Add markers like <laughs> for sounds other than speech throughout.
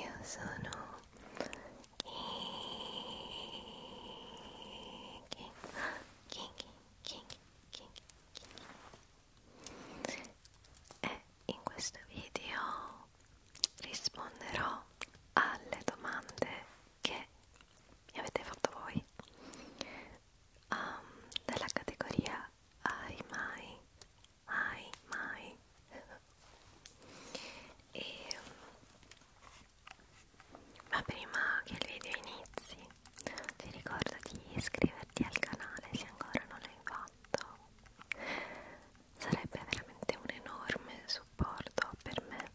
Io sono Kinky, Kinky, Kinky, Kinky, Kinky. E in questo video risponderò alle domande che mi avete fatto voi um, della categoria Hai mai mai mai <laughs> e mm, ma prima che il video inizi ti ricordo di iscriverti al canale se ancora non l'hai fatto sarebbe veramente un enorme supporto per me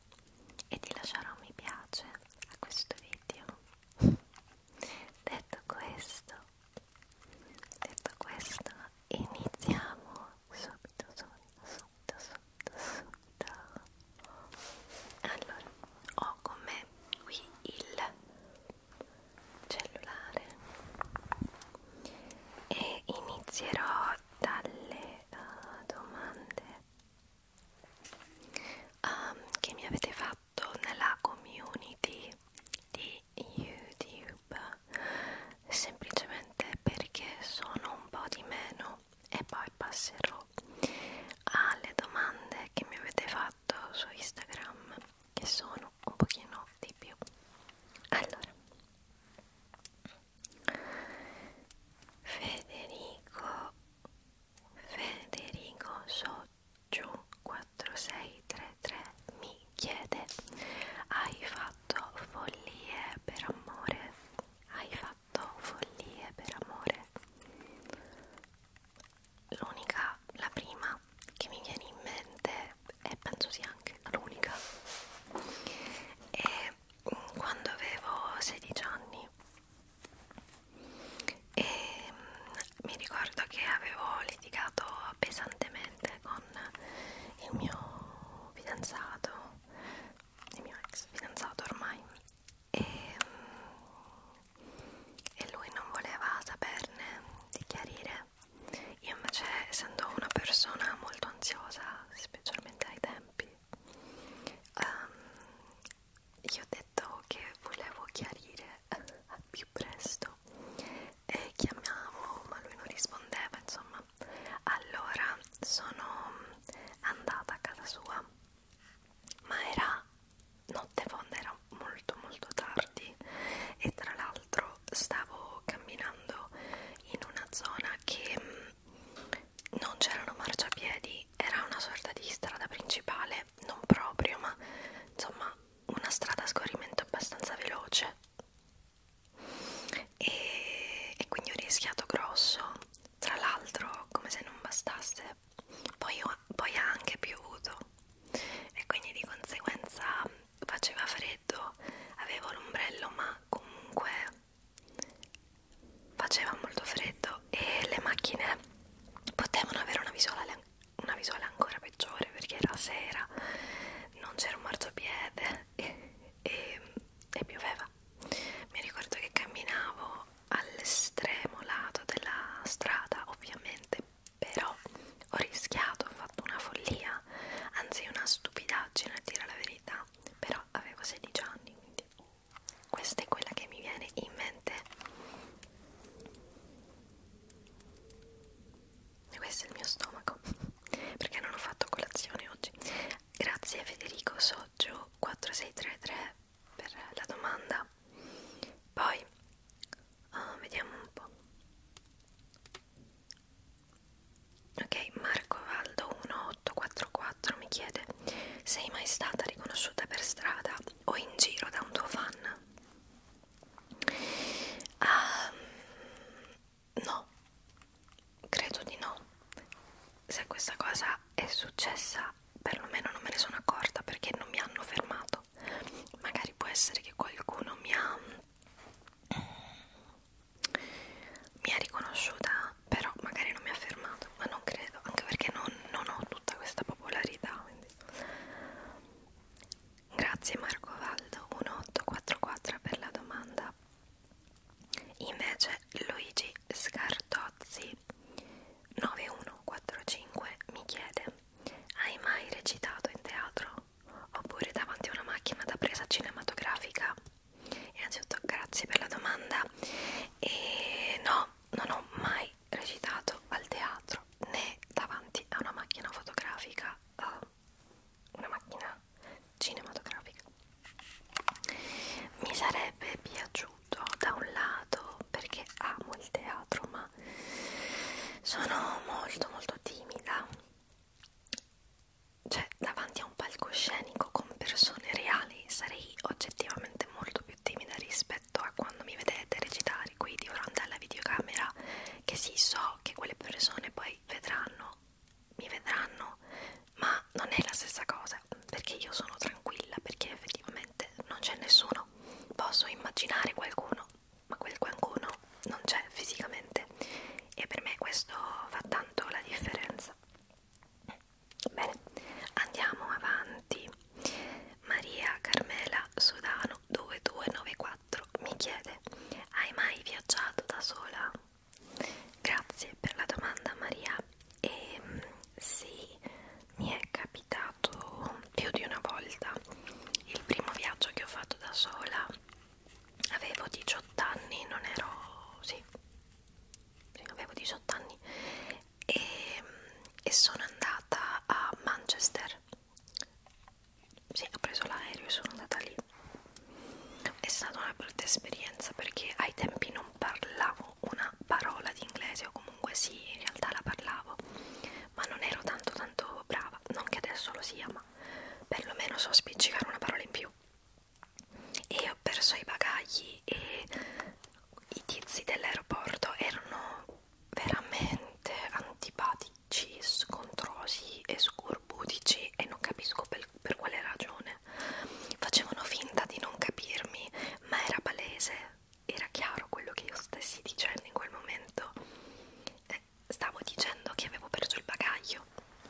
e di lasciare un mi piace a questo video <laughs> detto questo detto questo iniziamo subito subito subito subito subito allora ho con me qui il cellulare e inizierò dalle uh, domande um, che mi avete fatto nella community di YouTube semplicemente perché sono un po' di meno e poi passerò alle domande che mi avete fatto su Instagram che sono un pochino di più allora Federico Federico Sotto Jun4633 mi chiede Hai fatto follie per amore? Hai fatto follie per amore? L'unica, la prima che mi viene in mente e penso sia anche l'unica è mm, quando avevo 16 anni e mm, mi ricordo che avevo litigato pesantemente con il mio fidanzato, il mio ex fidanzato ormai e, mm, e lui non voleva saperne di chiarire io invece essendo una persona molto ansiosa specialmente ai tempi um, ehm, io ho detto che volevo chiarire <laughs> a più presto e chiamavo ma lui non rispondeva insomma allora sono andata a casa sua ma era notte fonda era molto molto tardi e tra l'altro stavo camminando in una zona che mm, non c'erano marciapiedi era una sorta di strada principale non proprio ma insomma una strada a scorrimento abbastanza veloce e, e quindi ho rischiato grosso tra l'altro come se non bastasse poi, ho, poi ha anche piovuto e quindi di conseguenza faceva freddo avevo l'ombrello ma comunque faceva molto freddo e le macchine potevano avere una visuale una visuale ancora peggiore perché era sera, non c'era un marciapiede e, e, e pioveva. Mi ricordo che camminavo all'estremo lato della strada, ovviamente, però ho rischiato, ho fatto una follia, anzi una stupidaggine a dire la verità, però avevo 16 anni, quindi questa è quella che mi viene in mente e questo è il mio stomaco <laughs> perché non ho fatto colazione oggi grazie a Federico Soggio 4633 per la domanda poi uh, vediamo un po' ok Marco Valdo 1844 mi chiede sei mai stata riconosciuta per strada o in giro da un tuo fan Um, no, credo di no. Se questa cosa è successa, perlomeno non me ne sono accorta perché non mi hanno fermato. Magari può essere che qualcuno mi ha mi ha riconosciuta, però magari non mi ha fermato, ma non credo, anche perché non, non ho tutta questa popolarità. Quindi grande grazie Marco Valdo 1844 per la domanda invece Luigi Scartozzi 9145 mi chiede hai mai recitato in teatro oppure davanti a una macchina da presa cinematografica innanzitutto grazie per la domanda e no non ho mai mai recitato al teatro né davanti a una macchina fotografica, uh, una macchina cinematografica. Mi sarebbe piaciuto da un lato perché amo il teatro, ma sono molto molto timida. Cioè, davanti a un palcoscenico con persone reali sarei oggettivamente molto più timida rispetto rispetto a quando mi vedete recitare qui di fronte alla videocamera che sì so che quelle persone poi vedranno mi vedranno ma non è la stessa cosa perché io sono tranquilla perché effettivamente non c'è nessuno posso immaginare qualcuno ma quel qualcuno non c'è fisicamente e per me questo fa tanto la differenza bene andiamo avanti avanti Maria Carmela Sodano 2294 mi chiede hai mai viaggiato da sola? Grazie per la domanda Maria e ehm, sì, mi è capitato più di una volta il primo viaggio che ho fatto da sola avevo 18 anni, non ero... sì, avevo 18 anni e, e sono andata a Manchester sì, ho preso l'aereo e sono andata lì è stata una brutta esperienza perché ai tempi non parlavo una parola di inglese o comunque sì, in realtà la parlavo ma non ero tanto tanto brava non che adesso lo sia, ma perlomeno so spiccicare una parola in più e ho perso i bagagli e i tizi dell'aeroporto erano veramente antipatici, scontrosi e scorbutici e non capisco per, per quale ragione. Facevano finta di non capirmi, ma era palese, era chiaro quello che io stessi dicendo in quel momento. Eh, stavo dicendo che avevo perso il bagaglio,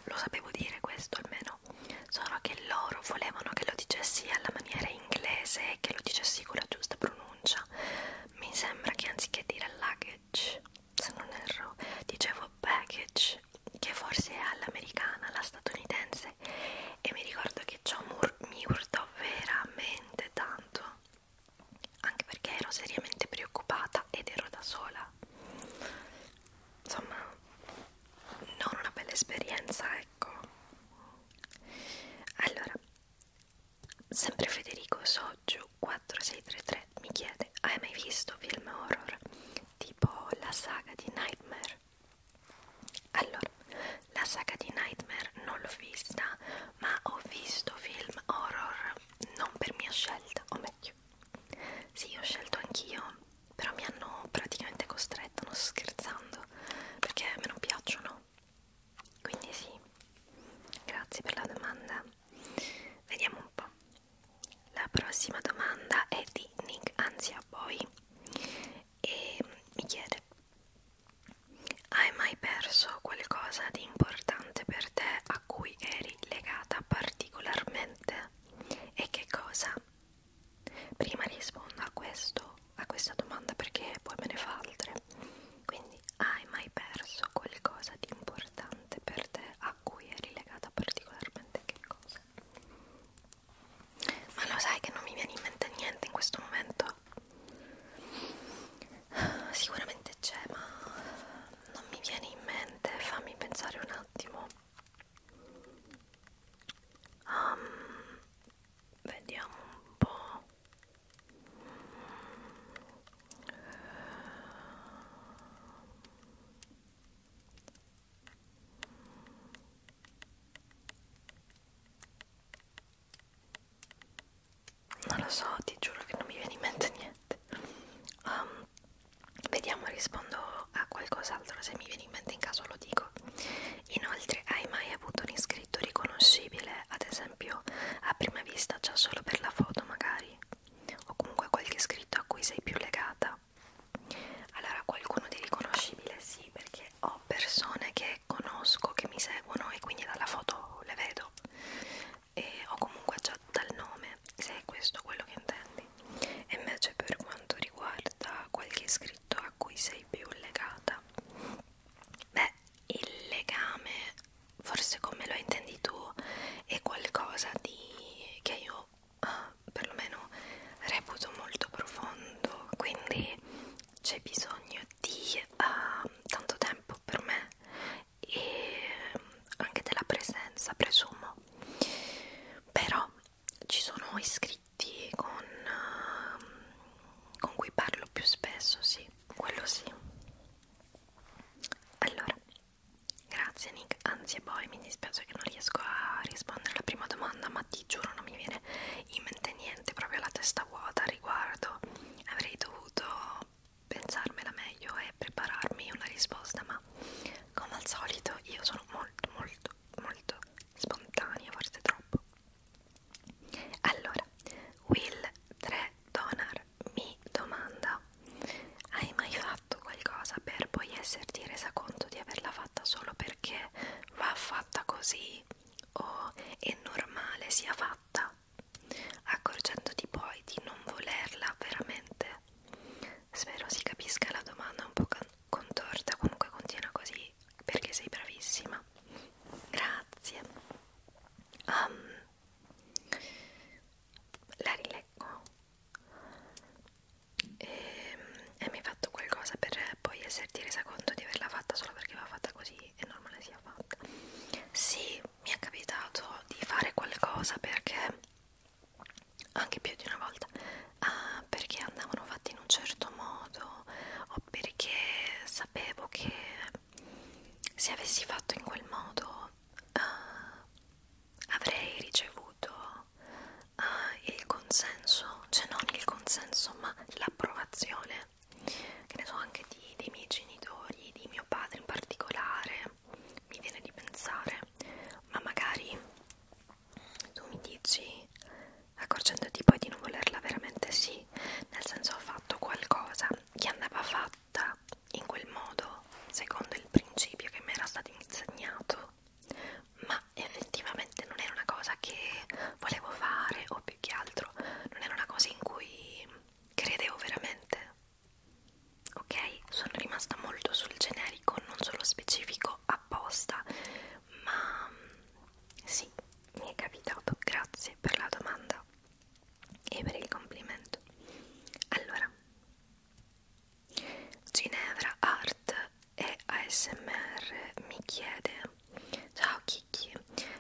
lo sapevo dire questo almeno, solo che loro volevano che lo dicessi alla maniera inglese e che lo dicessi con la giusta pronuncia pronuncia mi sembra che anziché dire luggage se non erro dicevo baggage che forse è all'americana, alla statunitense e mi ricordo che ciò mi urtò veramente tanto anche perché ero seriamente preoccupata ed ero da sola insomma non una bella esperienza ecco allora, sempre Federico Soggio 4633 mi chiede: Hai mai visto film horror tipo la saga di Nightmare? Allora, la saga di Nightmare non l'ho vista, ma ho visto film horror non per mia scelta, o meglio, sì, ho scelto anch'io, però mi hanno praticamente costretto, non sto scherzando, perché a me non piacciono quindi sì grazie per la domanda vediamo un po' la prossima domanda è di Nick Anzia Boy e mi chiede hai mai perso qualcosa di importante per te a cui eri legata particolarmente e che cosa Prima rispondo a, questo, a questa domanda perché poi me ne fa altre. Quindi, hai mai perso qualcosa di importante per te a cui eri legata particolarmente? Che cosa? Ma lo sai che non mi viene in mente niente in questo momento? Sicuramente c'è, ma non mi viene in mente. Fammi pensare un attimo. Um, vediamo un po' non lo so, ti giuro che non mi viene in mente <laughs> niente. Um, vediamo, rispondo a qualcos'altro. Se mi viene in mente, in caso lo dico pubblico. Ecco. Inoltre, hai mai avuto un iscritto riconoscibile, ad esempio a prima vista già solo per la foto magari, o comunque qualche iscritto a cui sei più legata? Allora, qualcuno di riconoscibile sì, perché ho persone che conosco, che mi seguono e quindi dalla foto le vedo, e ho comunque già dal nome, se è questo quello che intendi. E invece per quanto riguarda qualche iscritto a cui sei più legata, allora beh il legame forse come lo intendi tu è qualcosa di che io uh, perlomeno reputo molto profondo quindi c'è bisogno di uh, tanto tempo per me e anche della presenza presumo però ci sono iscritti con, uh, con cui parlo più spesso, sì, quello sì. Allora, grazie Nick, anzi e poi mi dispiace che non riesco a rispondere alla prima domanda, ma ti giuro non mi viene in mente niente, proprio la testa vuota al riguardo. Avrei dovuto pensarmela meglio e prepararmi una risposta, ma come al solito io sono molto molto molto spontanea, forse troppo. Allora, Will 3 Donar mi domanda: Hai mai fatto qualcosa per poi esserti resa conto di averla fatta solo perché va fatta così o è normale sia fatta? Accorgendoti poi di non volerla veramente? Spero si capisca la domanda un po' contorta, comunque continua così noi perché sei bravissima grazie um, la rileggo e, ehm, e mi hai fatto qualcosa per poi esserti resa conto di averla fatta solo perché va fatta così è normale sia fatta sì mi è capitato di fare qualcosa perché anche più di una volta ah, perché andavano fatti in un certo modo o perché sapevo che se avessi fatto in quel modo ah, avrei ricevuto ah, il consenso, cioè non il consenso ma l'approvazione che ne so anche di, dei miei genitori, di mio padre in particolare mi viene di pensare ma magari tu mi dici accorgendoti poi di non volerla veramente sì nel senso ho fatto qualcosa che andava fatta in quel modo secondo il principio che mi era stato insegnato ma effettivamente non era una cosa che volevo fare o più che altro non era una cosa in cui credevo veramente ok sono rimasta molto sul generico non sullo specifico apposta ma sì, mi è capitato, grazie per la domanda e per il complimento. Allora, Ginevra Art e ASMR mi chiede Ciao Kiki,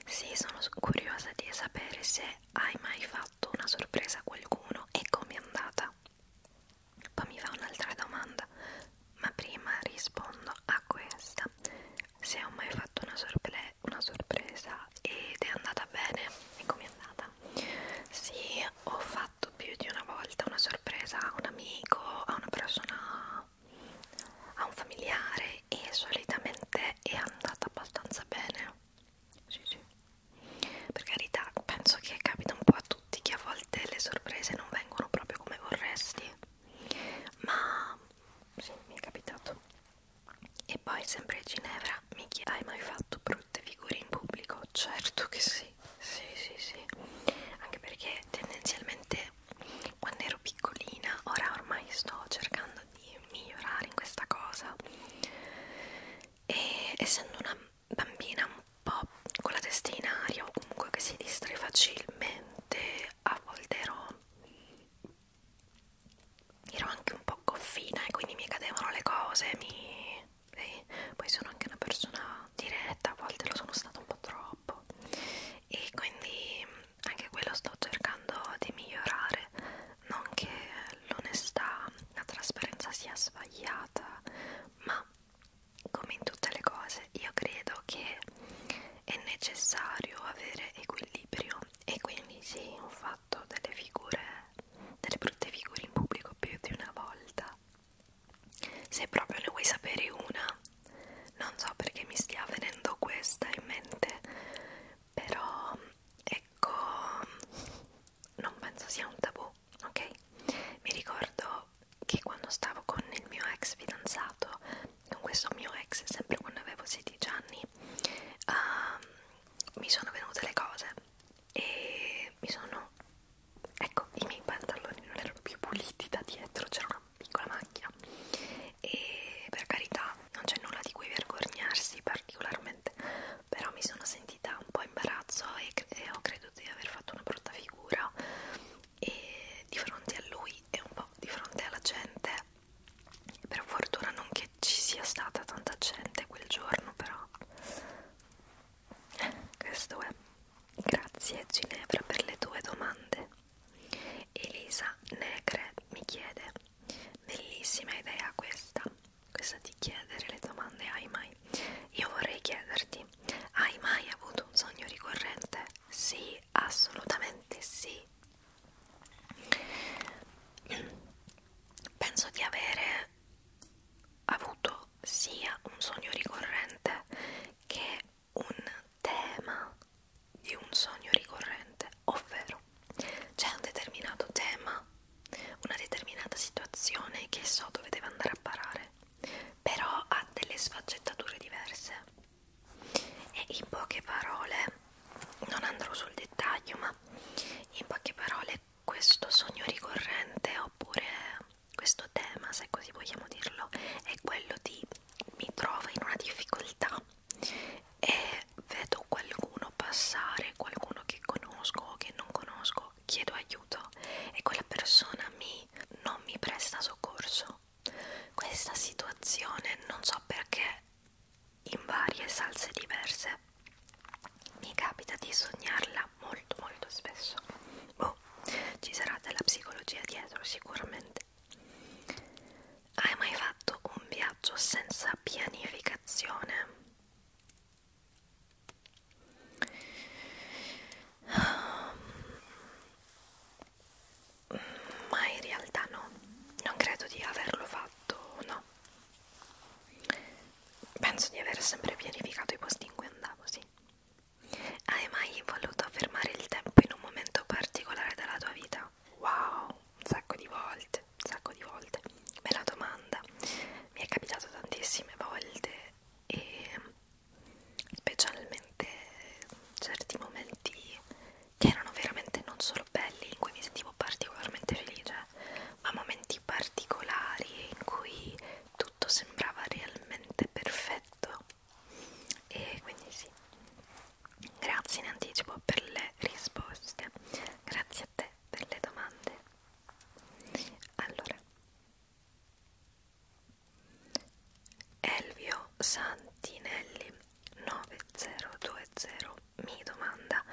sì sono curiosa di sapere se hai mai fatto una sorpresa a qualcuno e com'è andata poi mi fa un'altra domanda, ma prima rispondo a questa. Se ho mai fatto una, sorpre una sorpresa ed è andata bene, e com'è andata? Sì, ho fatto più di una volta una sorpresa a un amico, a una persona, a un familiare e solitamente è andata abbastanza bene. Sì, sì. Per carità, penso che capita un po' a tutti tutti che a volte le sorprese non vengono proprio come vorresti, ma sì, mi è capitato. E poi sempre a Ginevra mi chiede, hai mai fatto brutte figure in pubblico? Certo che sì, sì, sì, sì. Anche perché tendenzialmente quando ero piccolina, ora ormai sto cercando di migliorare in questa cosa. E essendo una bambina un po' con la testa in aria o comunque che si distrae facilmente, a volte ero, ero anche un po' goffina e quindi mi cadevano le cose, mi, eh, poi sono anche una persona diretta, a volte lo sono stata un po' troppo e quindi anche quello sto cercando di migliorare, non che l'onestà, la trasparenza sia sbagliata, ma come in tutte le cose io credo che è necessario avere equilibrio e quindi sì ho fatto delle figure delle brutte figure in pubblico più di una volta se proprio ne vuoi sapere una non so perché mi stia venendo questa in mente però ecco non penso sia un tabù blu, ok? Mi ricordo che quando stavo con il mio ex fidanzato, con questo mio ex, sempre quando avevo 16 anni, uh, mi sono venute le cose e mi sono. Ecco, i miei pantaloni non erano più puliti da dietro, c'era una piccola macchina. E per carità, non c'è nulla di cui vergognarsi particolarmente, però mi sono sentita un po' imbarazzo e, e ho creduto di aver fatto una brutta figura e di fronte a lui e un po' di fronte alla gente per fortuna non che ci sia stata tanta gente quel giorno però questo è grazie Ginevra per le tue domande Elisa Negre mi chiede bellissima idea questa questa di chiedere le domande ai mai io vorrei chiederti hai mai avuto un sogno ricorrente? Sì, assolutamente sì. Penso di avere avuto sia un sogno ricorrente che un tema di un sogno ricorrente, ovvero c'è un determinato tema, una determinata situazione che so dove deve andare a parare però ha delle sfaccettature diverse e in poche parole non andrò sul dettaglio ma in poche parole questo sogno ricorrente oppure questo tema se così vogliamo dirlo è quello di mi trovo in una difficoltà e vedo qualcuno passare qualcuno che conosco o che non conosco io chiedo aiuto e quella persona mi, non mi presta soccorso. Questa situazione non so perché in varie salse diverse mi capita di sognarla molto molto spesso. Boh, ci sarà della psicologia dietro sicuramente. Hai mai fatto un viaggio senza pianificazione? ma in realtà no, non credo di averlo fatto, no. Penso di aver sempre pianificato i posti in cui andavo, sì. Hai mai voluto fermare il tempo in un momento particolare della tua vita? Wow, un sacco di volte, un sacco di volte. Bella domanda. Mi è capitato tantissime volte e specialmente certi momenti che erano veramente non solo belli in cui mi sentivo particolarmente felice ma momenti particolari in cui tutto sembrava realmente perfetto e quindi sì grazie in anticipo per le risposte grazie a te per le domande allora Elvio Santinelli 9020 mi domanda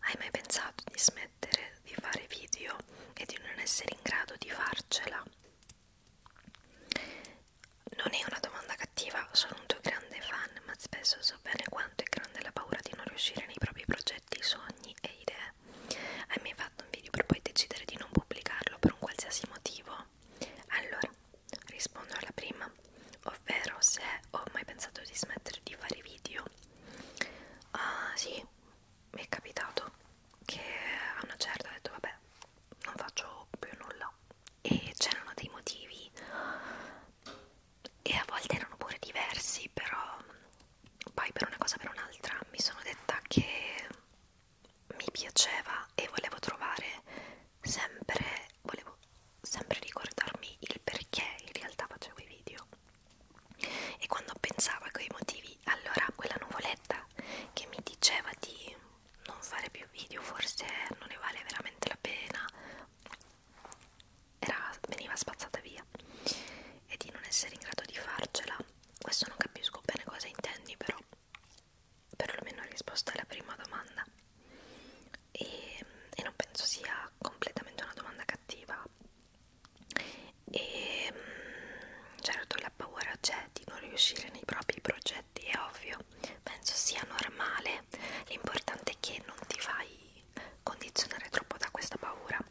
Hai mai pensato di smettere di fare video e di non essere in grado di farcela? Non è una domanda cattiva, sono un tuo grande fan, ma spesso so bene quanto è grande la paura di non riuscire nei propri progetti, sogni e idee hai mai fatto un video per poi decidere di non pubblicarlo per un qualsiasi motivo? Allora, rispondo alla prima, ovvero se ho mai pensato di smettere di fare video. Ah uh, sì, mi è capitato che a una certa ho detto vabbè, non faccio più nulla e c'erano dei motivi e a volte erano pure diversi, però poi per una cosa per un'altra mi sono detta che mi piaceva e volevo trovare sempre volevo sempre ricordarmi il perché in realtà facevo i video e quando pensavo a quei motivi allora quella nuvoletta che mi diceva di non fare più video forse non ne vale veramente la pena era, veniva spazzata via e di non essere in grado di farcela questo non capisco bene cosa intendi però perlomeno risposta alla prima domanda e, e non penso sia completamente una domanda cattiva e certo la paura c'è di non riuscire nei propri progetti è ovvio penso sia normale l'importante è che non ti fai condizionare troppo da questa paura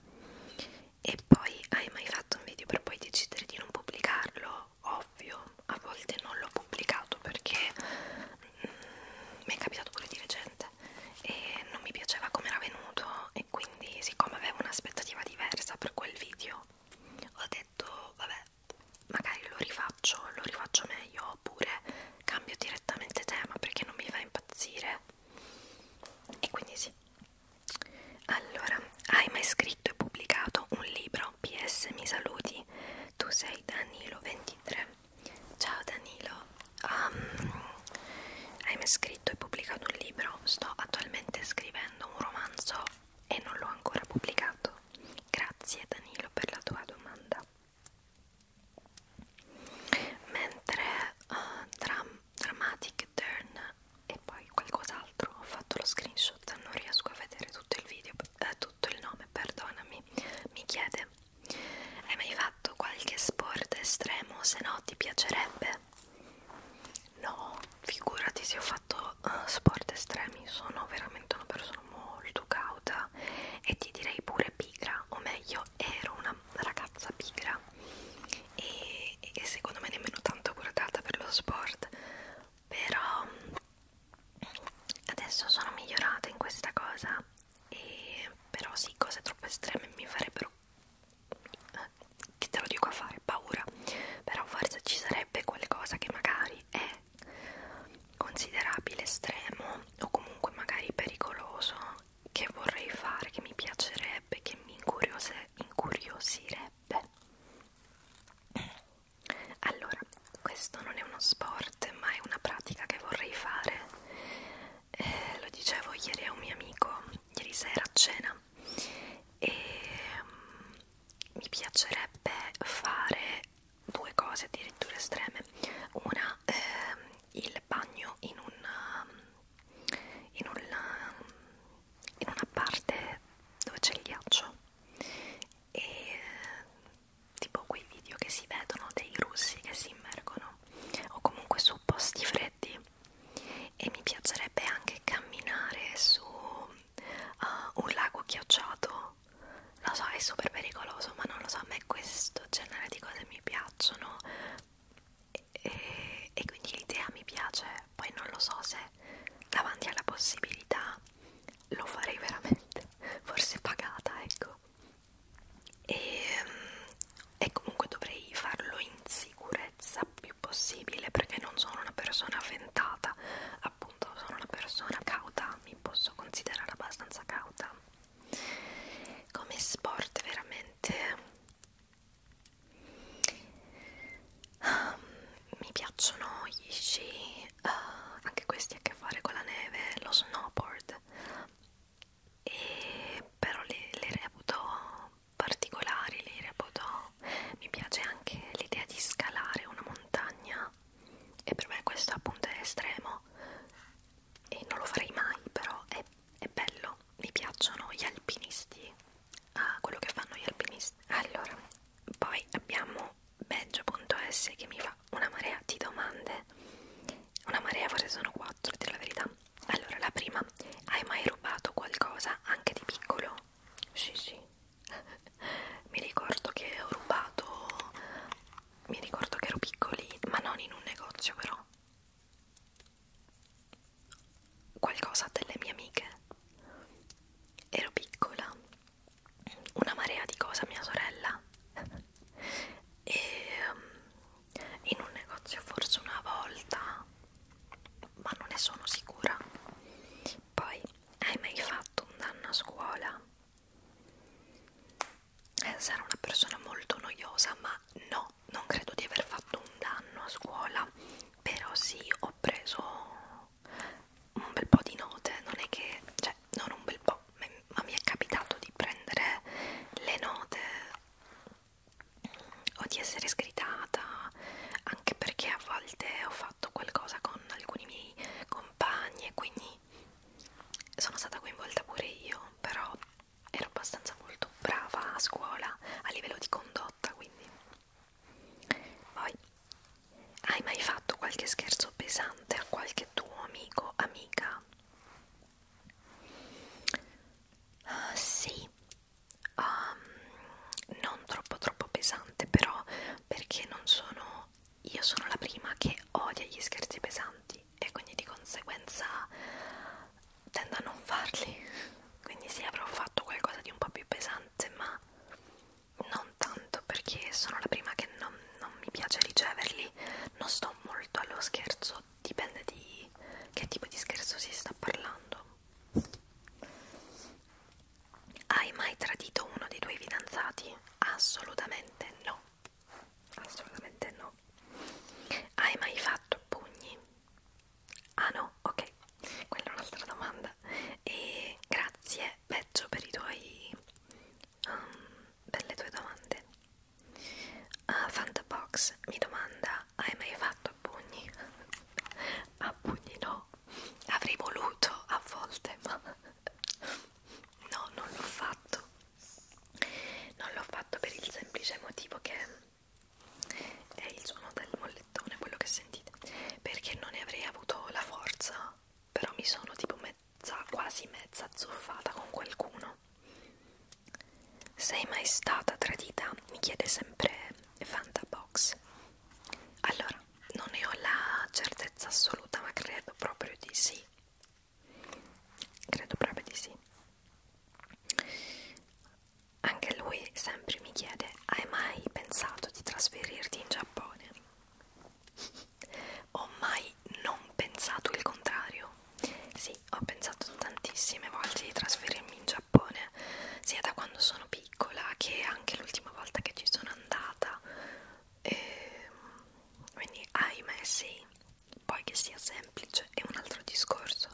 e poi hai mai fatto un video per poi decidere di non pubblicarlo? Ovvio, a volte non l'ho pubblicato perché mm, mi è capitato pure di recente e non mi piaceva come era venuto e quindi siccome avevo un'aspettativa diversa per quel video ho detto vabbè magari lo rifaccio, lo rifaccio meglio oppure cambio direttamente tema perché non mi fa impazzire e quindi sì allora, hai mai scritto e pubblicato un libro? PS mi saluti, tu sei Danilo23. Ciao Danilo, um, hai mai scritto e pubblicato un libro? Sto attualmente scrivendo un romanzo e non l'ho ancora pubblicato. Grazie Danilo per la tua domanda. Mentre uh, eh, tra dramatic turn e poi qualcos'altro ho fatto lo screenshot non riesco a vedere tutto il video eh, tutto il nome perdonami mi chiede hai mai fatto qualche sport estremo se no ti piacerebbe no figurati se ho fatto uh, sport estremi sono veramente una persona molto cauta e ti direi pure pigra o meglio ero una ragazza pigra e e, e secondo me nemmeno tanto guardata per lo sport però mm, adesso sono migliorata in questa cosa e però sì cose troppo estreme mi farebbero che eh, te lo dico a fare paura però forse ci sarebbe qualcosa che magari è considerabile estremo o comunque magari pericoloso che vorrei fare, che mi piacerebbe, che mi incuriose, incuriosirebbe. Allora, questo non è uno sport, ma è una pratica che vorrei fare. Eh, lo dicevo ieri a un mio amico, ieri sera a cena, e um, mi piacerebbe fare due cose addirittura estreme. Una, eh, il il bagno in una, um, in una, um, in una parte dove c'è il ghiaccio e eh, tipo quei video che si vedono dei russi che si immergono o comunque su posti freddi e mi piacerebbe anche camminare su uh, un lago ghiacciato lo so è super pericoloso ma non lo so a me questo genere di cose mi piacciono e, e quindi l'idea mi piace, poi non lo so se davanti alla possibilità lo farei veramente, <laughs> forse pagata, ecco. E, e comunque dovrei farlo in sicurezza più possibile perché non sono una persona avventata, appunto sono una persona cauta, mi posso considerare abbastanza cauta. Come sport veramente Um, mi piacciono gli sci, uh, anche questi a che fare con la neve, lo snowboard, e però li, li reputo particolari, li reputo. Mi piace anche l'idea di scalare una montagna, e per me questo appunto è estremo, e non lo farei mai, però è è bello, mi piacciono gli alpinisti, ah, quello che fanno gli alpinisti. Allora, poi abbiamo badge.s che mi fa una marea di domande, una marea forse sono quattro, a dire la verità. Allora, la prima, hai mai rubato qualcosa anche di piccolo? Sì, sì. <laughs> mi ricordo che ho rubato, mi ricordo che ero piccoli, ma non in un negozio però qualcosa delle mie amiche. Ero piccola, una marea di cose a mia sorella <laughs> e um, in un negozio forse una volta, ma non ne sono sicura. Poi hai mai fatto un danno a scuola? Eh, Sarà una persona molto noiosa, ma no, no, non credo di aver fatto un danno a scuola, però sì, ho preso un bel po' di note, non è che, cioè, non un bel po', ma mi è capitato di prendere le note o di essere scritata, anche perché a volte ho fatto qualcosa con alcuni miei compagni e quindi sono stata coinvolta pure io, però ero abbastanza molto brava a scuola a livello di condotta quindi poi hai mai fatto qualche scherzo pesante a qualche tuo amico amica uh, sì um, non troppo troppo pesante però perché non sono io sono la prima che odia gli scherzi pesanti e quindi di conseguenza tendo a non farli quindi sì avrò fatto qualcosa di un po' più pesante ma non tanto perché sono la prima che non, non mi piace riceverli non sto molto allo scherzo dipende di che tipo di scherzo si sta parlando hai mai tradito uno dei tuoi fidanzati? assolutamente no Assolutamente no. Hai mai fatto pugni? Ah no, ok, quella è un'altra domanda. E grazie Peggio per i tuoi um, per le tue domande. Uh, Fantabox mi domanda: hai mai fatto a pugni? <laughs> a pugni no, avrei voluto a volte, ma <laughs> no, non l'ho fatto non l'ho fatto per il semplice motivo che è il suono del mollettone quello che sentite perché non ne avrei avuto la forza però mi sono tipo mezza quasi mezza azzuffata con qualcuno sei mai stata tradita? mi chiede sempre Fantabox allora non ne ho la certezza assoluta ma credo proprio di sì credo proprio di sì anche lui sempre mi chiede hai mai pensato di trasferirti in Giappone? ho mai non pensato il contrario? sì, ho pensato tantissime volte di trasferirmi in Giappone sia da quando sono piccola che anche l'ultima volta che ci sono andata e, ehm, quindi ahimè sì poi che sia semplice è un altro discorso,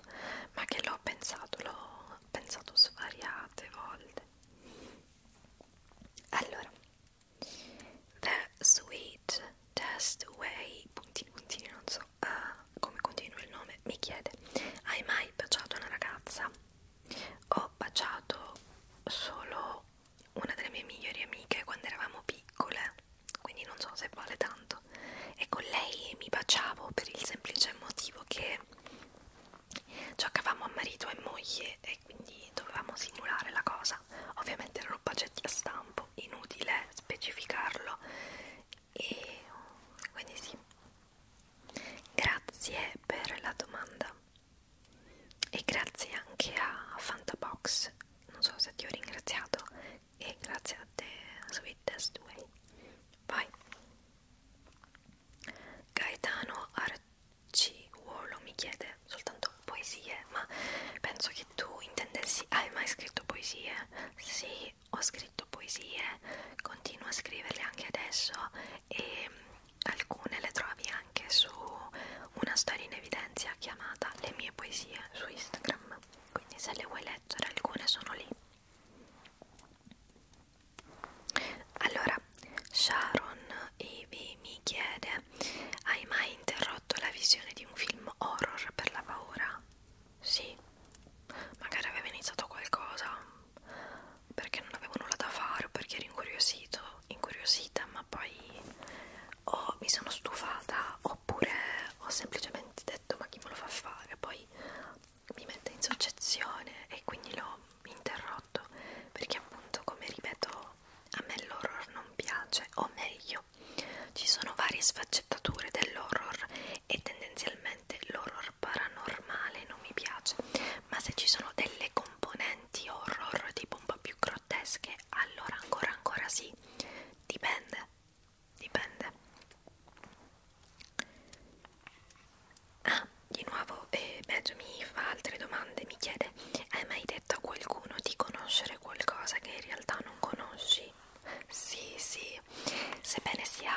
ma che l'ho pensato, l'ho pensato svariate volte. Allora, The Sweet Test Way, puntini puntini, non so uh, come continua il nome, mi chiede, hai mai baciato una ragazza? Ho baciato solo una delle mie migliori amiche quando eravamo piccole quindi non so se vale tanto e con lei mi baciavo per il semplice motivo che giocavamo a marito e moglie e quindi dovevamo simulare la cosa ovviamente erano bacetti a stampo inutile specificarlo e quindi sì grazie per la domanda e grazie anche a Fantabox non so se ti ho ringraziato e grazie a te Sweetest Way vai Gaetano Arciuolo mi chiede soltanto poesie ma penso che tu intendessi hai mai scritto poesie? sì ho scritto poesie continuo a scriverle anche adesso e alcune le trovi anche su una storia in evidenza chiamata le mie poesie su Instagram Instagram, quindi se le vuoi leggere alcune sono lì. Allora, Sharon Ivy mi chiede: Hai mai interrotto la visione di un film horror per la paura? Sì, magari aveva iniziato qualcosa perché non avevo nulla da fare o perché ero incuriosito, incuriosita, ma poi o oh, mi sono stufata o oppure ho semplicemente detto ma chi me lo fa fare poi mi mette in soggezione e quindi l'ho interrotto perché appunto come ripeto a me l'horror non piace o meglio ci sono varie sfaccettature dell'horror e tendenzialmente l'horror paranormale non mi piace ma se ci sono delle componenti horror tipo un po' più grottesche allora ancora ancora sì dipende dipende ah di nuovo eh, Beggio mi fa altre domande mi chiede hai mai detto a qualcuno di conoscere qualcosa che in realtà non conosci sì sì sebbene sia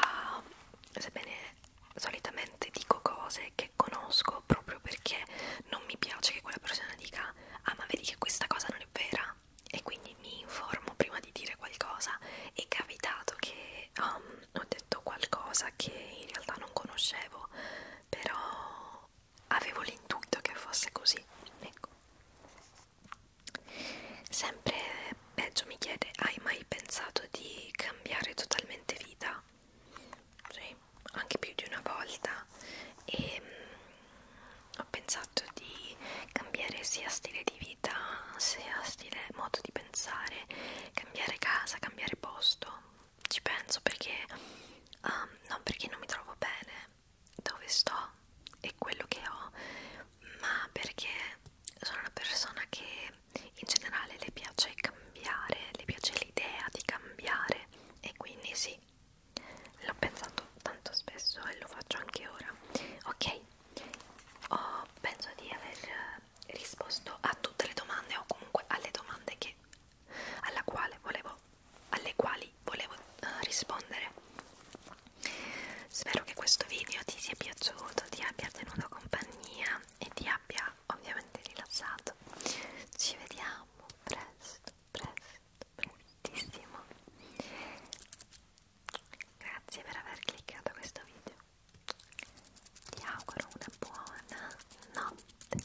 sebbene solitamente dico cose che conosco proprio perché non mi piace che quella persona dica cosa ah ma vedi che questa cosa non è vera e quindi mi informo prima di dire qualcosa è capitato che um, ho detto qualcosa che in realtà non conoscevo però avevo l'intuito che fosse così ecco sempre peggio mi chiede hai mai pensato di cambiare totalmente vita sì anche più di una volta e mh, mm, ho pensato di cambiare sia stile di vita sia stile modo di pensare cambiare casa cambiare posto ci penso perché um, non perché non mi trovo bene dove sto e quello che ho ma perché sono una persona che in generale le piace cambiare le piace l'idea di cambiare e quindi sì l'ho pensato tanto spesso e lo faccio anche ora ok oh, penso di aver risposto a tutte le domande o comunque alle domande che alla quale volevo alle quali volevo uh, rispondere spero che questo video ti sia piaciuto ti abbia tenuto compagnia e ti abbia ovviamente rilassato ci vediamo presto presto, prestissimo grazie per aver cliccato questo video ti auguro una buona notte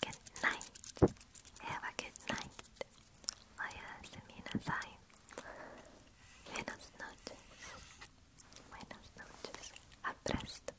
good night have a good night vaya semina sai buenas noches buenas noches a presto